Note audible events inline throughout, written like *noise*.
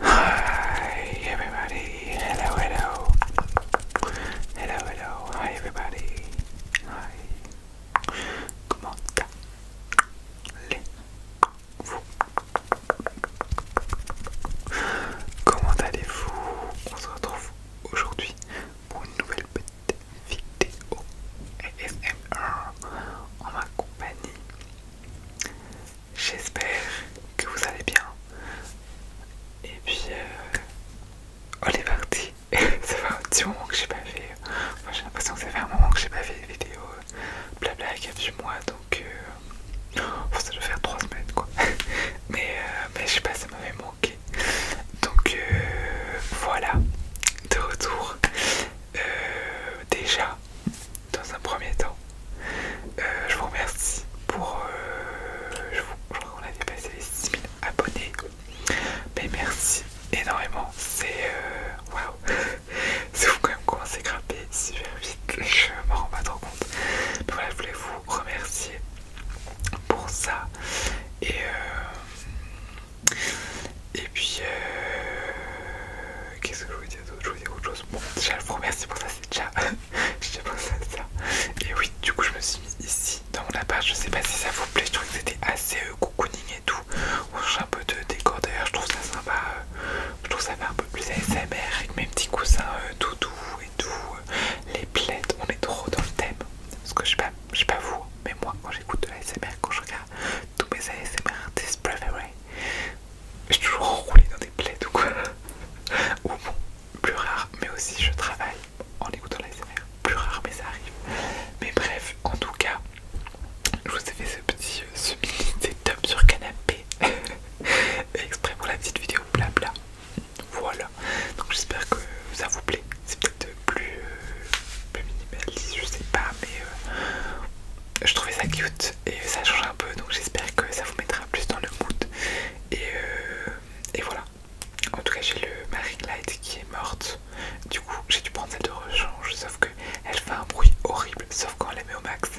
Hi everybody, hello, hello. Hello, hello, hi everybody. Hi. Comment allez-vous Comment allez-vous On se retrouve aujourd'hui pour une nouvelle petite vidéo ASMR en ma compagnie. J'espère que vous allez bien. Et puis, on euh, est parti. *laughs* ça fait un petit moment que j'ai pas fait. Moi, j'ai l'impression que ça fait un moment que j'ai pas fait de vidéo euh, Blabla, il y a du mois, Donc, euh, oh, ça doit faire 3 semaines quoi. *laughs* mais, je sais pas, ça m'avait manqué. Donc, voilà. De retour. Euh, déjà, dans un premier temps, euh, je vous remercie pour... Euh, je, crois qu'on a dépassé les 6000 abonnés. Mais merci énormément, c'est... Waouh wow. *laughs* C'est fou quand même comment à grimper super vite, je m'en rends pas trop compte. Mais voilà, je voulais vous remercier pour ça. Et... Et puis, euh, qu'est-ce que je voulais dire d'autre Je voulais dire autre chose. Bon, déjà, je vous remercie pour ça, c'est déjà. *laughs* je ça. Et oui, du coup, je me suis mis ici dans mon appart. Je sais pas si ça vous plaît. Je trouvais que c'était assez euh, cocooning et tout. On change un peu de décor d'ailleurs. Je trouve ça sympa. Euh, je trouve ça fait un peu plus ASMR avec mes petits coussins doudous et tout. les plaids, on est trop dans le thème. Parce que je je sais pas vous, mais moi, quand j'écoute de l'ASMR, quand je regarde tous mes ASMR des Je suis toujours enroulé dans des plaies ou *laughs* quoi. Ou bon, plus rare, mais aussi je travaille en écoutant l'ASMR. Plus rare, mais ça arrive. Mais bref, en tout cas, je vous ai fait ce petit, euh, ce sur canapé. *laughs* Exprès pour la petite vidéo blabla. Voilà. Donc j'espère que ça vous plaît. C'est peut-être euh, plus, minimaliste, je sais pas, mais euh, je trouvais ça cute et ça change un peu donc j'espère que ça vous mettra plus dans le mood. Et, euh, et voilà, en tout cas, j'ai le Marine Light qui est morte, du coup, j'ai dû prendre cette de rechange, sauf que elle fait un bruit horrible, sauf quand elle la met au max.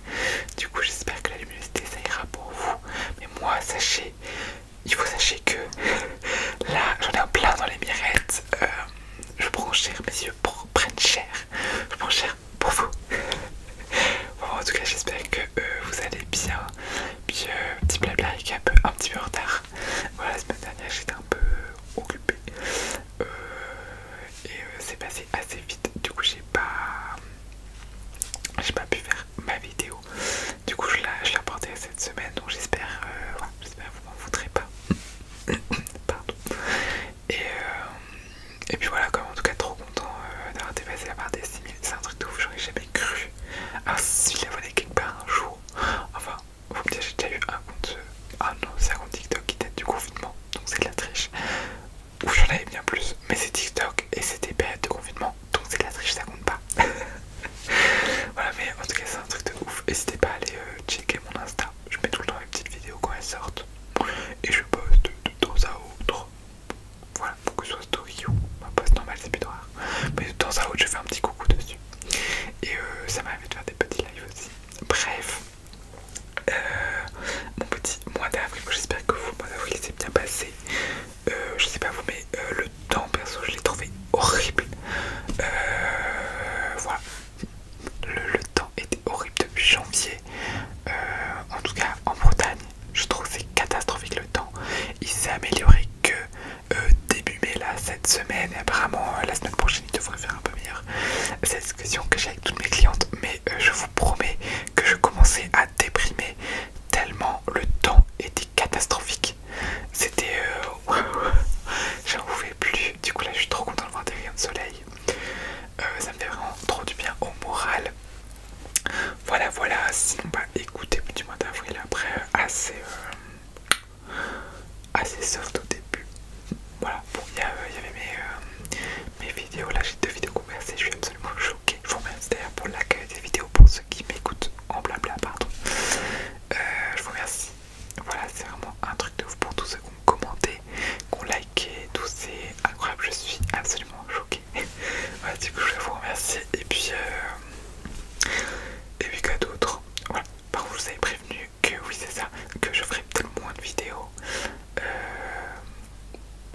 Du coup, j'espère que la luminosité ça ira pour vous, mais moi, sachez. Il faut sachez que *laughs* là j'en ai un plein dans les mirettes, je prends cher, mes yeux prennent cher. Je prends cher pour vous. *laughs* bon, en tout cas, j'espère que euh, vous allez bien. Puis, euh, petit blabla est un petit peu en retard. Voilà, la semaine dernière, j'étais un peu occupée. Euh, et c'est passé assez vite. Du coup, j'ai pas. J'ai pas pu faire ma vidéo. Du coup, je la, je cette semaine. Donc, j'espère j'espère que vous m'en voudrez pas. *coughs* Pardon. Et, euh, et puis voilà, comme en tout cas, trop content euh, d'avoir dépassé la barre des 6000. C'est un truc de ouf, j'aurais jamais cru. Ah, si la abonnés quelque part un jour. Enfin, vous me dites, j'ai déjà eu un compte. Euh, ah non, c'est un compte TikTok qui date du confinement, donc c'est de la triche. Ou j'en avais bien plus, mais c'est TikTok et c'était période de confinement, donc c'est de la triche, ça compte pas. *laughs* *laughs* voilà, mais en tout cas, c'est un truc de ouf. N'hésitez pas à aller euh, checker mon Insta. Je mets tout le temps mes petites vidéos quand elles sortent et je poste de, temps à autre. Voilà, pour que ce soit story ou un poste normal c'est plus Mais de temps à autre, je fais un petit coucou dessus. Et euh, ça m'arrive de faire des petits lives aussi. Bref, euh, mon petit mois d'avril, j'espère que vous, mois d'avril, s'est bien passé. je sais pas vous, mais le le temps, perso, je l'ai trouvé horrible. Euh, voilà, le, temps était horrible depuis janvier. Euh, en tout cas, en Bretagne, je trouve c'est catastrophique le temps. Il s'est amélioré que euh, début mai, là, cette semaine. Et apparemment, la semaine prochaine, il devrait faire un peu meilleur. Cette discussion que j'ai avec toutes mes clientes. Mais je vous promets que je commençais à déprimer tellement le temps était catastrophique. C'était. Euh, *laughs* j'en pouvais plus. Du coup, là, je suis trop contente de voir des rayons de soleil. Euh, ça me fait vraiment trop du bien au moral. Voilà, voilà. Sinon, pas écouter du mois d'avril, après, assez. Euh, assez soft au début. Voilà, bon, il y, avait mes, mes vidéos. Là, j'ai deux vidéos conversées. Je suis absolument choquée. Je vous remercie d'ailleurs pour l'accueil des vidéos pour ceux qui m'écoutent en blabla, pardon. Euh, je vous remercie. Voilà, c'est vraiment un truc de ouf pour tous ceux qui ont commenté, qui ont liké, tout c'est incroyable. Je suis absolument choquée. voilà, *laughs* du coup, je vous remercie. Et puis, euh, et puis quoi d'autres, Voilà, par contre, vous avez prévenu que oui, c'est ça, que je ferai peut-être moins de vidéos. Euh,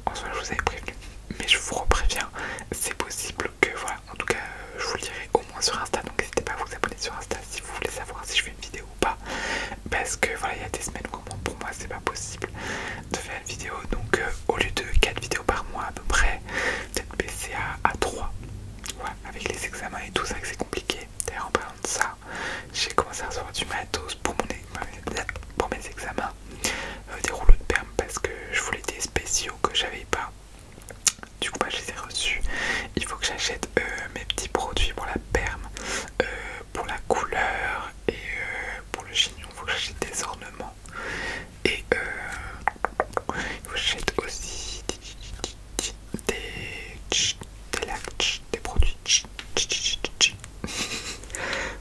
en soi, je vous avais prévenu, mais je vous repréviens, c'est possible que voilà en tout cas, euh, je vous le dirai au moins sur Insta, donc n'hésitez pas à vous abonner sur Insta si vous voulez savoir si je fais une vidéo ou pas. Parce que voilà, il y a des semaines où pour moi c'est pas possible de faire une vidéo, donc euh, au lieu de 4 vidéos par mois à peu près, peut-être baisser à, 3. avec les examens et tout, ça que c'est compliqué. D'ailleurs, en parlant de ça, j'ai commencé à recevoir du matos pour, pour mes examens, euh, des rouleaux de perme parce que je voulais des spéciaux que j'avais pas. Du coup, moi bah, je les ai reçus. Il faut que j'achète euh, mes petits produits pour la perme, euh, pour la couleur et euh, pour le chignon. Il faut que j'achète des ornements. Et il faut que j'achète aussi des, des des produits. *laughs*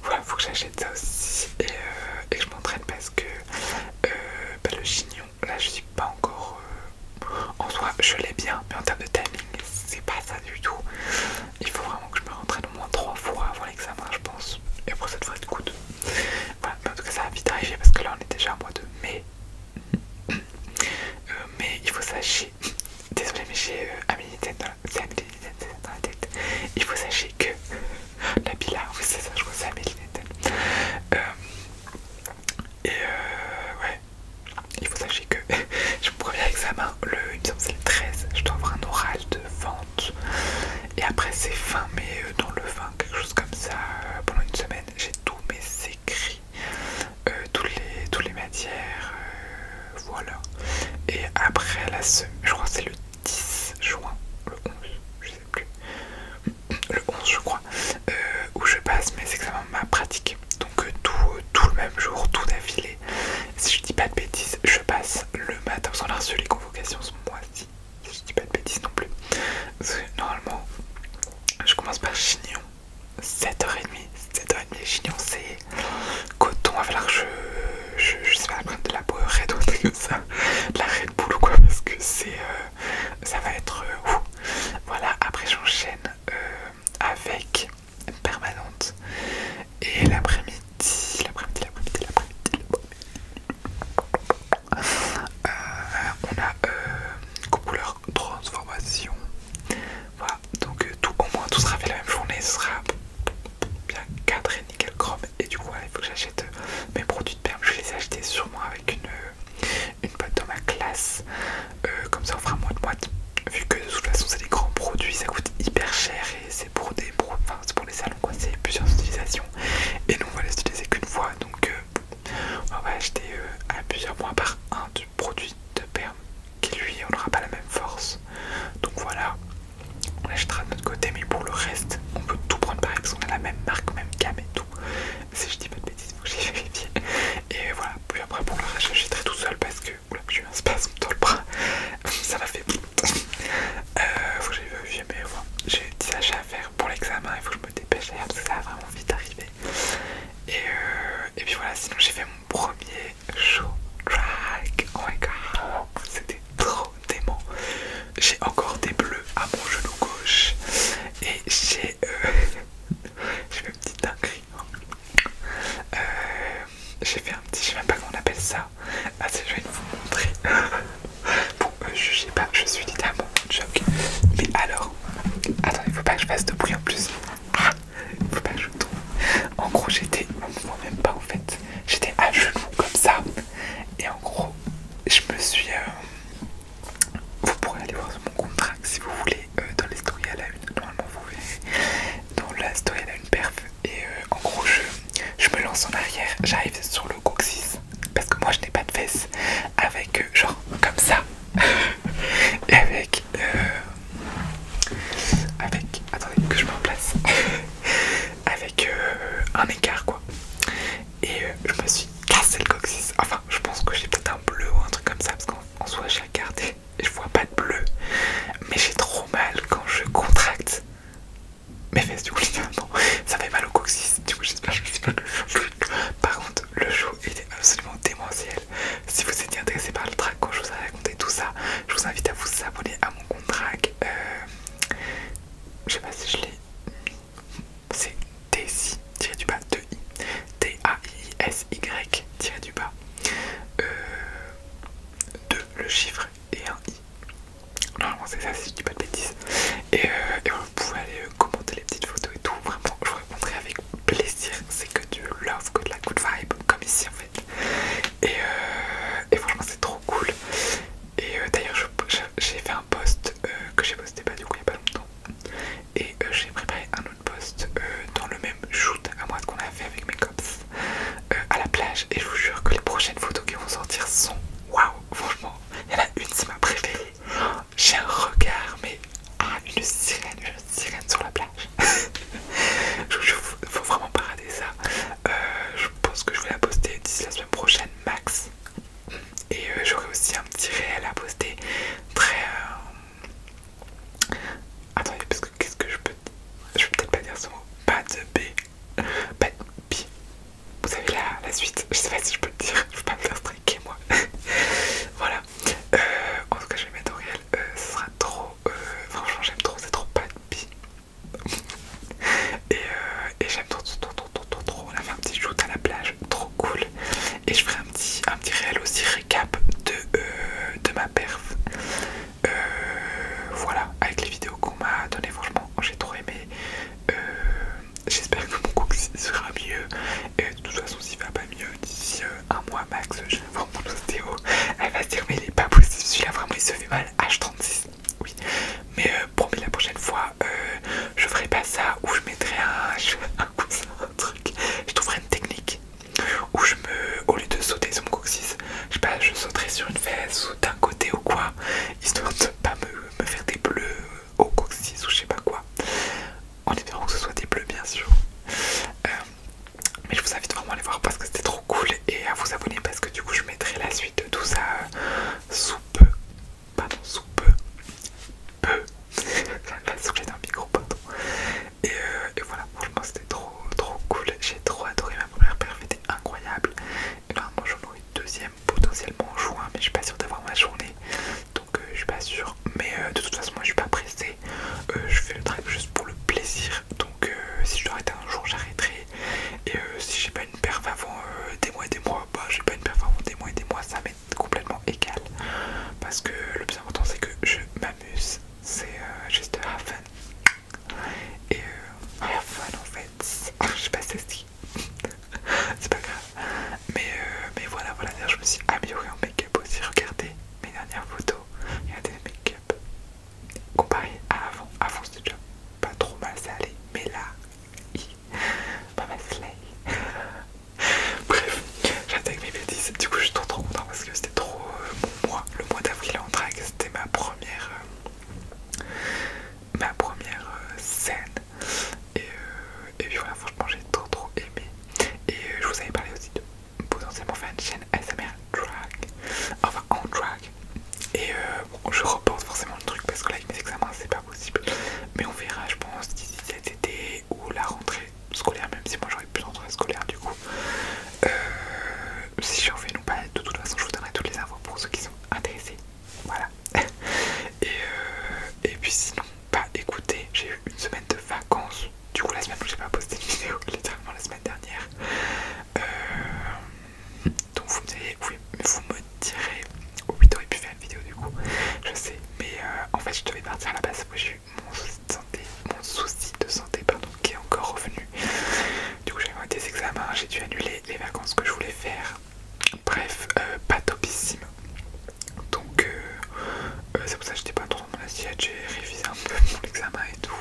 voilà, il faut que j'achète ça aussi et, je m'entraîne parce que euh, bah, le chignon, là je suis pas encore... Euh, en soi je l'ai bien, mais en termes de timing, c'est pas ça du tout. Il faut vraiment que je me rentraîne au moins trois fois avant l'examen je pense. Et pour cette fois être good. mais en tout cas ça va vite arriver parce que là on est déjà à mois de mai. Euh, mais il faut sachez, désolé mais j'ai Amélie la... tête, il faut sachez que *laughs* La Bila, oui c'est ça, je crois que c'est et euh, ouais, il faut savoir que *laughs* je mon premier examen, le, c'est le 13, je dois avoir un oral de vente. Et après c'est fin mai, euh, dans le fin, quelque chose comme ça, euh, pendant une semaine, j'ai tous mes écrits, euh, toutes, les, toutes les matières, euh, voilà. Et après la semaine, je crois que c'est le 10 juin, le 11, je sais plus, le 11 je crois, euh, où je passe mes examens ma pratique. Donc euh, euh, tout, le même jour, tout d'affilée. Si je dis pas de bêtises, je passe le matin, parce qu'on a reçu les convocations ce mois-ci, si je dis pas de bêtises non plus. Normalement, je commence par Chignon, 7h30, 7h30 Chignon c'est coton, il va falloir que je je, sais pas, prendre de la Red ou comme ça, de la Red Bull ou quoi, parce que c'est, euh, ça va être euh, Voilà, après j'enchaîne euh, avec Permanente et l'après-midi, l'après-midi, l'après-midi, l'après-midi. l'après-midi on a couleur transformation. Voilà, donc tout au moins tout sera fait la même journée, ce sera bien cadré, nickel chrome et du coup il faut que j'achète euh, mes produits de perme je vais les acheter sûrement avec une, euh, une boîte dans ma classe euh, comme ça on fera moins de boîte vu que de toute façon c'est des grands produits ça coûte hyper cher et c'est pour des produits enfin, pour les salons quoi c'est plusieurs utilisations et nous on va les utiliser qu'une fois donc on va acheter à plusieurs mois par un du produit de perme qui lui on n'aura pas la même force donc voilà on l'achètera de notre côté, mais pour le reste, on peut tout prendre pareil parce qu'on a la même marque, même gamme et tout. Si je dis pas de bêtises, faut que j'y vérifie. Et voilà, puis après pour le reste, j'achèterai tout seul parce que oula, j'ai eu un spasme dans le bras, ça m'a fait. euh, faut que j'y vérifier, mais voilà, j'ai des achats à faire pour l'examen, il faut que je me dépêche d'ailleurs parce que ça va vraiment vite arriver. Euh, et, puis voilà, sinon j'ai fait mon premier show Track. Oh my god, c'était trop j'ai encore des bleus à mon genou gauche et j'ai euh, fait *laughs* un petit dinguerie. Hein. Euh, j'ai fait un petit, je sais même pas comment on appelle ça. Ah, je vais vous montrer. *laughs* bon, jugez euh, je sais pas, je suis littéralement choc. Mais alors, attendez, faut pas que je fasse de bruit en plus. Ah, faut pas que je tombe. En gros, j'étais, moi même pas en fait. J'étais à genoux comme ça et en gros je me suis euh, vous pourrez aller voir mon contrat si vous voulez euh, dans les à la une normalement vous verrez dans la story à la une perf et euh, en gros je, me lance en arrière j'arrive sur le coccyx parce que moi je n'ai pas de fesses avec genre comme ça *laughs* et avec avec attendez que je me remplace *laughs* avec euh, un écart quoi. Et euh, je me suis cassé le coccyx. Enfin, je pense que j'ai peut-être un bleu ou un truc comme ça parce qu'en soit j'ai regardé et je vois pas de bleu. Mais j'ai trop mal quand je contracte mes fesses du coup bon Ça fait mal au coccyx. Du coup, j'espère que je pas Par contre, le show il est absolument démentiel. Si vous étiez intéressé par le track, quand je vous ai raconté tout ça, je vous invite à vous abonner à mon compte track. Euh, je sais pas si je l'ai c'est Daisy tiré du bas 2 i T A I S Y du bas 2 euh, le chiffre et un i normalement c'est ça c'est du dis pas de bêtises et, euh, vous pouvez aller euh, commenter les petites photos et tout vraiment je vous répondrai avec plaisir c'est que du love que de la good vibe comme ici en fait euh, et, franchement, c'est trop cool. Et euh, d'ailleurs, j'ai fait un post euh, que j'ai posté pas bah, du coup il n'y a pas longtemps. Et j'ai préparé un autre post dans le même shoot à moi qu'on a fait avec mes cops à la plage. Et je vous jure que les prochaines photos qui vont sortir sont waouh! Franchement, il y en a une, c'est ma préférée. Oh, j'ai un regard, mais ah, une sirène, une sirène sur la plage. *laughs* je vous jure, faut vraiment pas ça. Euh, je pense que je vais la poster d'ici la semaine prochaine, max. Et euh, j'aurai aussi un petit réel à poster très. Euh, attendez, parce que qu'est-ce que je peux. Je vais peut-être pas dire ce mot. Pas de B. Pas de p. Vous savez la, suite. Je sais pas si je peux le dire. Je peux pas me faire striker moi. *laughs* voilà. en tout cas, je vais mettre au réel. ce sera trop. Franchement, j'aime trop. C'est trop pas de B. Euh, et, j'aime trop trop, trop trop trop trop on a fait un petit shoot à la plage trop cool et je ferai un petit un réel aussi récap de, euh, de ma perf euh, voilà avec les vidéos qu'on m'a donné franchement j'ai trop aimé j'espère que mon cook *laughs* sera mieux et de toute façon s'il va pas mieux d'ici un mois max je vraiment mon ostéo, elle va se dire mais il est pas possible, celui-là vraiment il se fait mal, H36, oui. Mais pour euh, promis la prochaine fois, euh, je ferai pas ça ou je mettrai un, un coussin, un truc, je trouverai une technique où je me, au lieu de sauter sur mon coccyx, je sais pas, je sauterai sur une fesse ou d'un côté ou quoi, histoire de pas me, faire des bleus au coccyx ou je sais pas quoi. En espérant que ce soit des bleus bien sûr. Euh, mais je vous invite vraiment à les voir parce que c'était trop cool et à vous abonner parce que du coup je mettrai la suite de tout ça euh, sous peu pardon sous peu peu la *laughs* un micro pardon et, euh, et voilà franchement c'était trop trop cool j'ai trop adoré ma première perf était incroyable et normalement j'en aurai une deuxième potentiellement en juin mais je suis pas sûre d'avoir ma journée donc euh, je suis pas sûre mais de toute façon moi je suis pas pressée je fais le drive juste pour le plaisir donc euh, si je dois arrêter un jour j'arrêterai et euh, si j'ai pas une perf avant euh, des mois et des mois bah j'ai pas une perf avant des mois et des mois ça m'est complètement égal parce que le plus important c'est que je m'amuse c'est juste have fun et have fun en fait *laughs* je sais pas si c'est *laughs* pas grave mais, mais voilà voilà je me suis amélioré en make-up aussi regardez mes dernières photos a des make-up. Comparé à avant, avant c'était déjà pas trop mal salé, mais là, pas mal slay *laughs* Bref, j'attaque mes bêtises, du coup je suis trop trop content parce que c'était trop euh, moi mon mois. Le mois d'avril en drague, c'était ma première... Euh, ma première euh, scène. Et, puis voilà, franchement j'ai trop trop aimé. Et je vous avais parlé aussi de potentiellement faire une chaîne S.M.R. drag, enfin en drag. Et euh, je repense forcément le truc parce que là, avec mes examens, c'est pas possible. Mais on verra, je pense, d'ici cet été ou la rentrée scolaire, même si moi j'aurais plus rentrer scolaire du coup. Euh, si j'en fais non pas, bah, de toute façon, je vous donnerai toutes les infos pour ceux qui sont intéressés. Voilà. *laughs* et, euh, et puis sinon, pas bah, écoutez, j'ai eu une semaine de vacances du coup la semaine où j'ai pas posté une vidéo, *laughs* littéralement la semaine dernière. Euh, donc vous me, direz, oui, vous me oh pu faire une vidéo du coup, je sais, mais euh, en fait je devais partir à la base, j'ai eu mon souci de santé, qui est encore revenu. Du coup j'avais des examens, j'ai dû annuler les vacances que je voulais faire. Bref, euh, pas topissime. Donc c'est pour ça que j'étais pas trop j'ai révisé un peu mon examen et tout.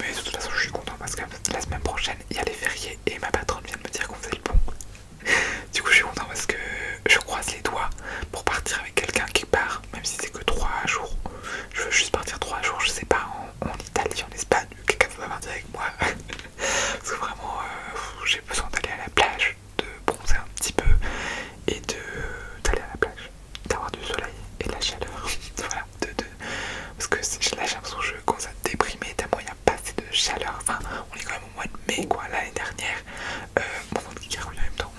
Mais de toute façon, je suis content parce que la semaine prochaine, il y a les fériés et ma patronne vient de me dire qu'on faisait le bon *laughs* Du coup, je suis content parce que je croise les doigts pour partir avec quelqu'un qui part, même si c'est que 3 jours. Je veux juste partir 3 jours, je sais pas, en, Italie, en Espagne, quelqu'un veut partir avec moi. *laughs* Parce que vraiment, euh, j'ai besoin d'aller à la plage, de bronzer un petit peu et d'aller à la plage d'avoir du soleil et de la chaleur. *laughs* voilà, de, deux parce que là j'ai l'impression que je commence à déprimer tellement il a pas assez de chaleur. Enfin, on est quand même au mois de mai quoi, l'année dernière. Euh, bon, qui en même temps.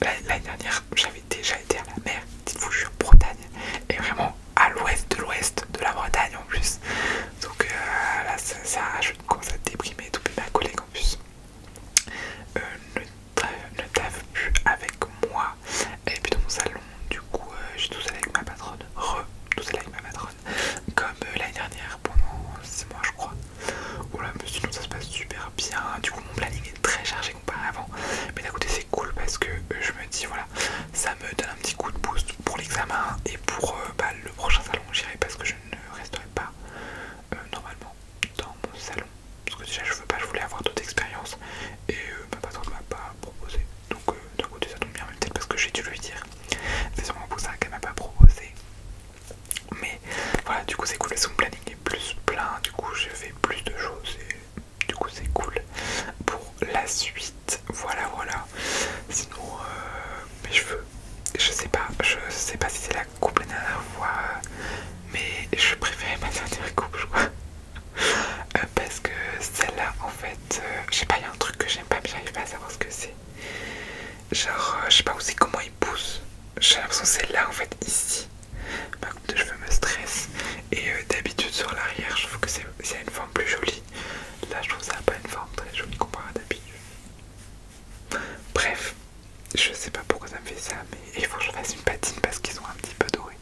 L'année dernière, j'avais déjà été à la mer. Dites-vous, je suis en Bretagne et vraiment à l'ouest de l'ouest de la Bretagne en plus. Donc euh, là, ça, ça je commence à déprimer, tout ma collègue en plus. Euh, ne tave plus avec moi et puis dans mon salon du coup je euh, j'ai tout seul avec ma patronne re tout seul avec ma patronne comme euh, l'année dernière pendant 6 mois je crois voilà mais sinon ça se passe super bien du coup mon planning est très chargé comparé avant mais d'un côté c'est cool parce que je me dis voilà ça me donne un petit coup de boost pour l'examen et pour bah, le prochain salon j'irai parce que je ne resterai pas normalement dans mon salon parce que déjà je veux pas, je voulais avoir d'autres expériences et euh, ma patronne m'a pas proposé. Donc euh, du coup côté ça tombe bien, mais peut-être parce que j'ai dû lui dire. C'est sûrement pour ça qu'elle m'a pas proposé. Mais voilà, du coup c'est cool, son planning est plus plein, du coup je fais plus de choses et du coup c'est cool pour la suite. Voilà, voilà. Sinon, euh, mes cheveux, je sais pas, je sais pas si c'est la coupe la dernière fois, euh, mais je préférais ma dernière coupe, je crois. Euh, parce que celle-là, en fait, j'ai euh, je sais pas, il y a un truc que j'aime pas, mais j'arrive pas à savoir ce que c'est. Genre, je sais pas aussi comment il pousse. J'ai l'impression que c'est là, en fait, ici. Ma coupe de cheveux me stresse. Et d'habitude, sur l'arrière, je trouve que c'est une forme plus jolie. Là, je trouve ça pas une forme très jolie comparé à d'habitude. Bref, je sais pas pourquoi ça me fait ça, mais il faut que je fasse une patine parce qu'ils sont un petit peu dorés.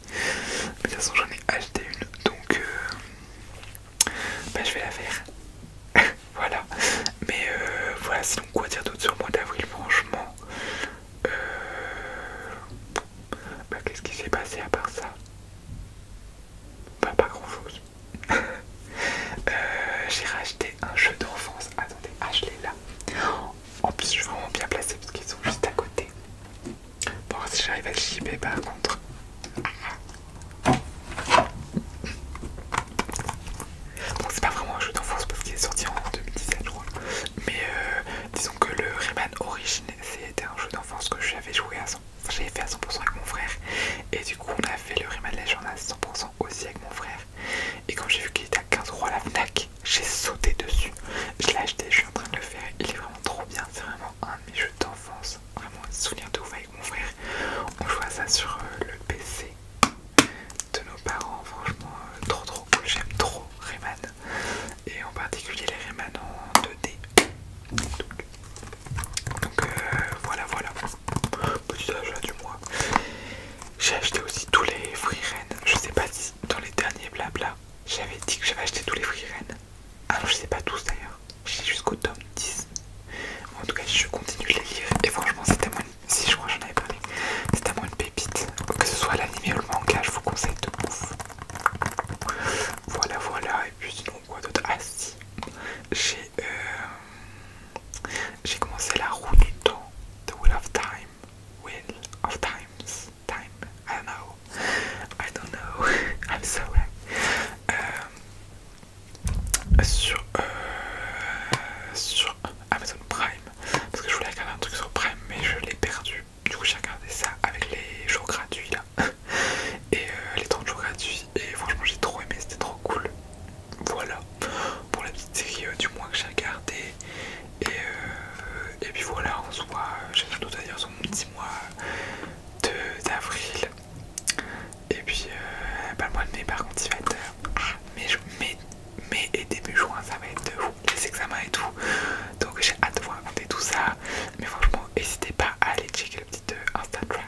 de toute façon, j'en ai acheté une, donc euh, bah, je vais la faire. *laughs* voilà. Mais euh, voilà, sinon quoi dire d'autre sur le mois d'avril, franchement. Euh, bah, qu'est-ce qui s'est passé à part ça bah, pas grand chose. *laughs* Euh, j'ai racheté un jeu d'enfance. Attendez, ah je l'ai là. En plus, je suis vraiment bien placée parce qu'ils sont juste à côté. Bon, si j'arrive à le chipper par contre. Bon c'est pas vraiment un jeu d'enfance parce qu'il est sorti en 2017, je crois. Mais euh, disons que le Rayman Origin, c'était un jeu d'enfance que j'avais joué à 100%. J'avais fait à 100% avec mon frère. Et du coup, on a fait le Rayman Legend à 100% aussi avec mon frère. Et quand j'ai vu qu'il était à 15€ à la Fnac, j'ai sauté dessus. Je l'ai acheté, je suis en train de le faire. Il est vraiment trop bien. C'est vraiment un de mes jeux d'enfance. Vraiment un souvenir de ouf avec mon frère. On joue à ça sur euh, le PC de nos parents. Franchement, euh, trop trop cool. J'aime trop Rayman. Et en particulier les Rayman en 2D. Donc, euh, voilà, voilà petit achat du mois. J'ai acheté aussi tous les Free Ren. Je sais pas si dans les derniers blabla, j'avais dit que j'avais acheté tous les Free Ren. Ah non, je sais pas tous d'ailleurs. J'ai jusqu'au tome 10. En tout cas, je continue de les lire. Et franchement, c'est tellement une... Si je crois j'en avais c'est moins une pépite. Que ce soit l'anime ou le manga, je vous conseille de bouffe Voilà, voilà. Et puis sinon, quoi d'autre Ah j'ai... Euh, j'ai commencé la roue du temps, The Wheel of Time, Wheel of Times, Time, I don't know, I don't know, *laughs* I'm sorry. Euh, sur, euh, sur Amazon Prime, parce que je voulais regarder un truc sur Prime, mais je l'ai perdu. Du coup, j'ai regardé ça avec les jours gratuits là. *laughs* Et euh, les 30 jours gratuits, et franchement j'ai trop aimé, c'était trop cool. Voilà pour la petite série euh, du mois que j'ai regardé Et, euh, et puis voilà, on se voit, j'ai à dire sur mon petit mois d'avril. Et puis euh, le mois de mai par contre il va être euh, mai, et début juin, ça va être de les examens et tout. Donc j'ai hâte de vous raconter tout ça. Mais franchement, n'hésitez pas à aller checker le petit Instagram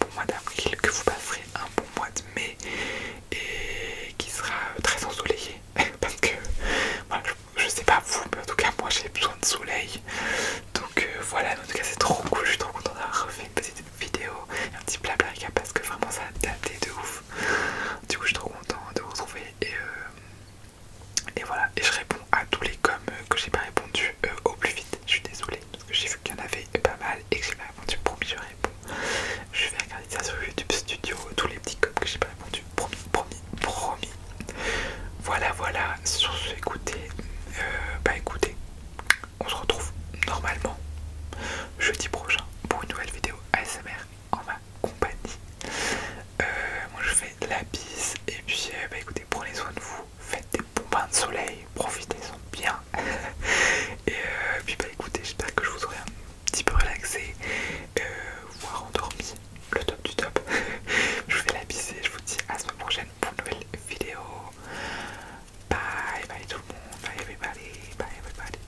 bon mois d'avril, que vous passerez un bon mois de mai et qui sera euh, très ensoleillé. *laughs* Parce que je, sais pas vous, mais en tout cas moi j'ai besoin de soleil. Donc euh, voilà, en tout cas c'est trop cool, je suis trop contente d'avoir refait une petite vidéo, un petit blabla parce que vraiment ça a daté de ouf. Du coup je suis trop content de vous retrouver et, euh, et voilà, et je réponds à tous les coms que j'ai pas répondu au plus vite, je suis désolée parce que j'ai vu qu'il y en avait pas mal et que j'ai pas répondu. Promis, je réponds. Je vais regarder ça sur YouTube Studio, tous les petits copes que j'ai pas répondu. Promis, promis, promis. Voilà, voilà. Sur ce, écoutez, euh, bah écoutez, on se retrouve normalement jeudi prochain pour une nouvelle vidéo ASMR en ma compagnie. Euh, moi je fais la bise et puis euh, bah écoutez, prenez soin de vous, faites des bons bains de soleil, profitez-en bien *laughs* Et euh, puis bah écoutez, j'espère que je vous aurai un petit peu relaxé, euh, voire endormi, le top du top. *laughs* je vous fais la bise et je vous dis à ce semaine prochaine pour une nouvelle vidéo. Bye bye tout le monde, bye everybody, bye everybody.